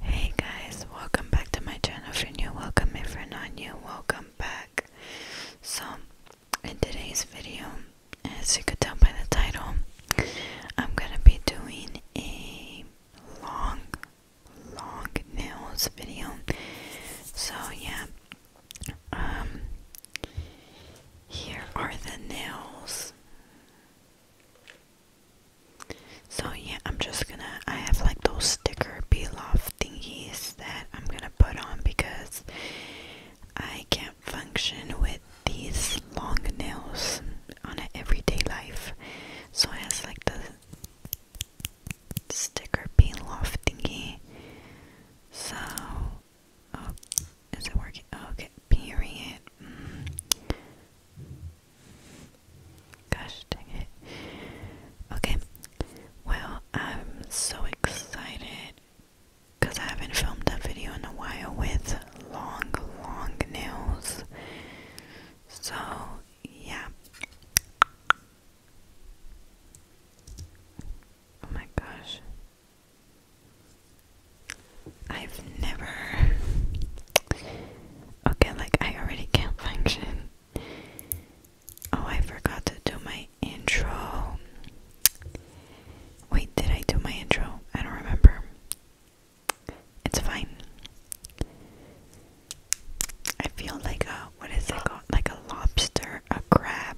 Hey guys, welcome back to my channel. If you're new, welcome. my friend. are not welcome back. So, in today's video, as you could tell by the title, I'm gonna be doing a long, long nails video. So, yeah, um, here are the nails. So yeah, I'm just gonna I have like those sticker peel off thingies that I'm gonna put on because I can't function with these long nails on an everyday life. So I have like the sticker peel off thingy. So oh, is it working? okay, period. Mm. Gosh dang it. Okay. Well, I'm so excited because I haven't filmed that video in a while with long, long nails. So, yeah. Oh my gosh. I've never. Okay, like I already can't function. Oh, I forgot to do my intro. Wait, did I do my intro? I don't remember. It's fine. I feel like a what is it called? Like a lobster, a crab.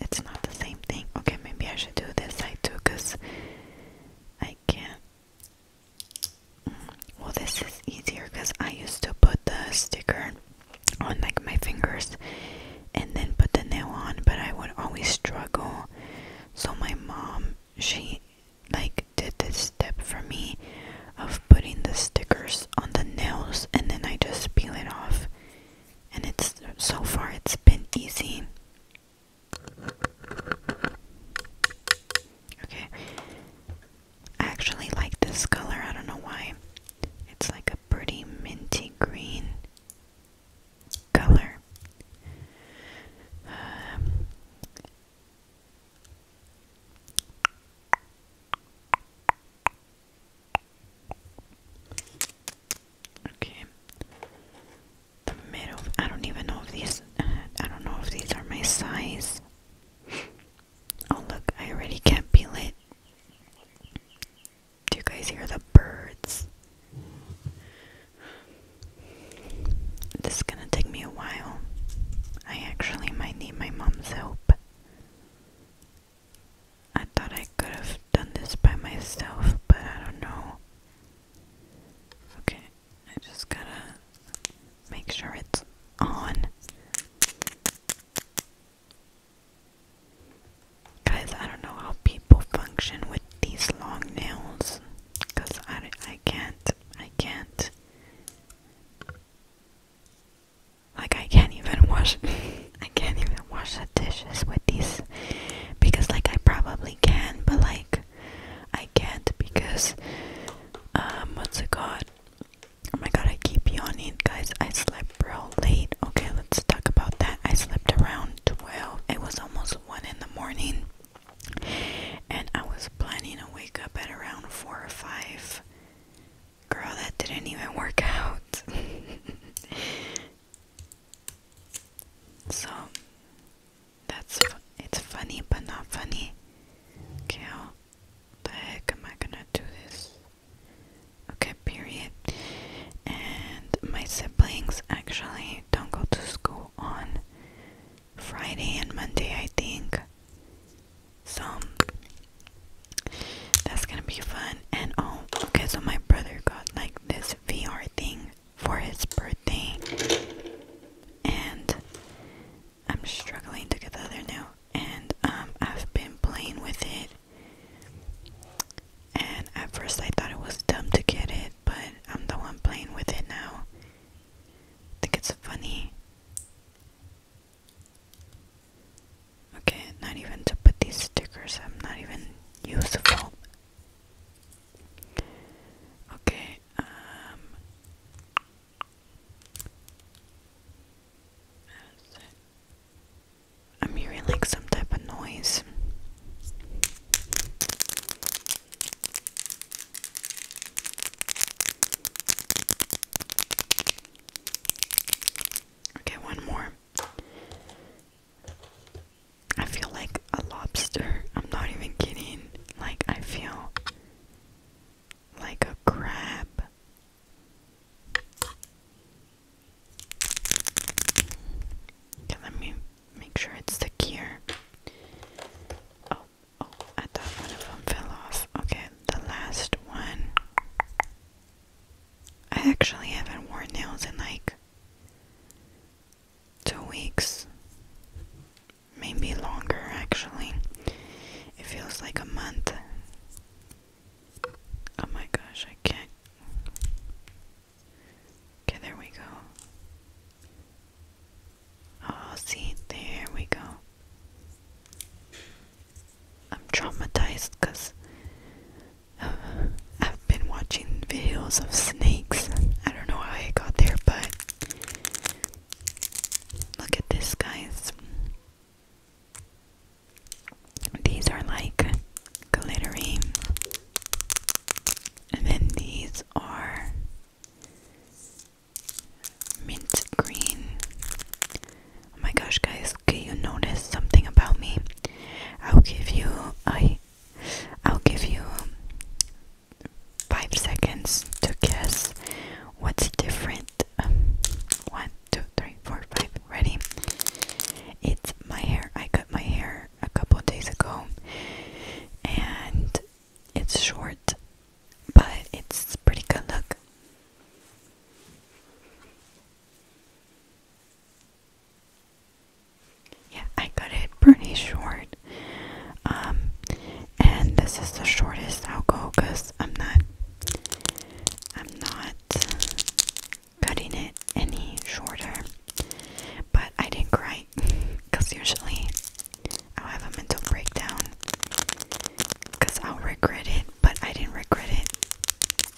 it's not the same thing. Okay, maybe I should do this side too, cause I can't. Well, this is easier because I used to put the sticker on like my fingers and then put the nail on, but I would always struggle. So, my mom, she like did this step for me of putting the stickers on the nails and then I just peel it off. And it's so far, it's been easy. Okay. I actually like this color. I don't know why. It's like a pretty minty green color. Um, okay the middle. I don't even know if these. I don't know if these are my size. Oh look, I already can't peel it. Do you guys hear the birds? This is gonna take me a while. I actually might need my mom's help. I thought I could have done this by myself, but I don't know. Okay, I just gotta make sure it's on. Guys, I don't know how people function with these long nails, cause I, I can't, I can't. Like I can't even wash, I can't even wash the dishes with these, because like I probably can, but like I can't because um what's a god? Oh my god, I keep yawning, guys. I slept real late. Okay, let's talk about that. I slept around 12. It was almost 1 in the morning. And I was planning to wake up at around 4 or 5. Girl, that didn't even work out. so, that's it's funny but not funny. Okay, how the heck am I gonna do this? Okay, period. And my siblings actually don't go to school on Friday and Monday, I think. So that's gonna be fun. And oh, okay, so my brother got like this VR thing for his birthday. And I'm struggling to get the other note. And um, I've been playing with it. And at first I thought it was dumb to get it, but I'm the one playing with it now. I think it's funny. Okay, not even to put these stickers, I'm not even useful. Okay, um I'm hearing like some type of noise. Okay, one more. I feel like a lobster. I'm not even kidding. Like, I feel like a crab. Okay, let me make sure it's stuck Oh, oh, I thought one of them fell off. Okay, the last one. I actually haven't worn nails in like two weeks, maybe longer actually. It feels like a month. Oh my gosh, I can't. Okay, there we go. Oh, see, there we go. I'm traumatized because I've been watching videos of snakes. I don't know how I got there, but look at this, guys. These are like glittering, and then these are mint green. Oh my gosh, guys, can you notice something about me? I'll give you a I'll give you um, five seconds to guess what's different um, one two three four five ready it's my hair I cut my hair a couple days ago and it's short but it's pretty good look yeah, I cut it pretty short. Um, and this is the shortest I'll go because I'm not, I'm not cutting it any shorter. But I didn't cry because usually I'll have a mental breakdown because I'll regret it, but I didn't regret it.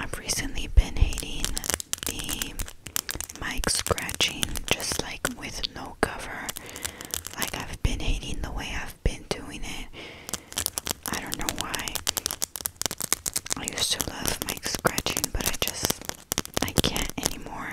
I've recently been hating the mic scratching, just like with no cover. Like, I've been hating the way I've been doing it. I don't know why. I used to love mic scratching, but I just I can't anymore.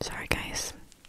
Sorry, guys,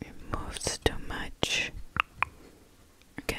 It moves too much. Okay.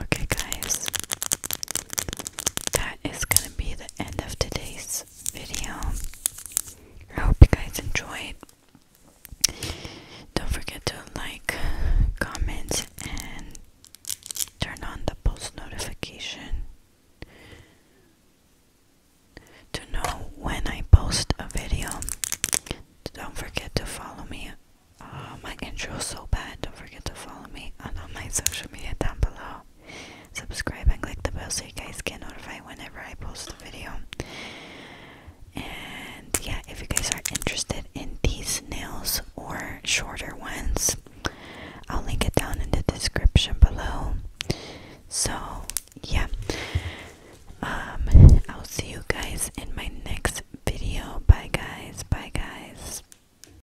Okay, guys, that it's going to be the end of today's video. I hope you guys enjoyed. Don't forget to like, comment, and turn on the post notification to know when I post a video. Don't forget to follow me. Uh, my intro is so bad. Don't forget to follow me on all my social media down below. Subscribe and click the bell so you guys get notified whenever I post a video. And yeah, if you guys are interested in these nails or shorter ones, I'll link it down in the description below. So yeah, um, I'll see you guys in my next video. Bye, guys. Bye, guys.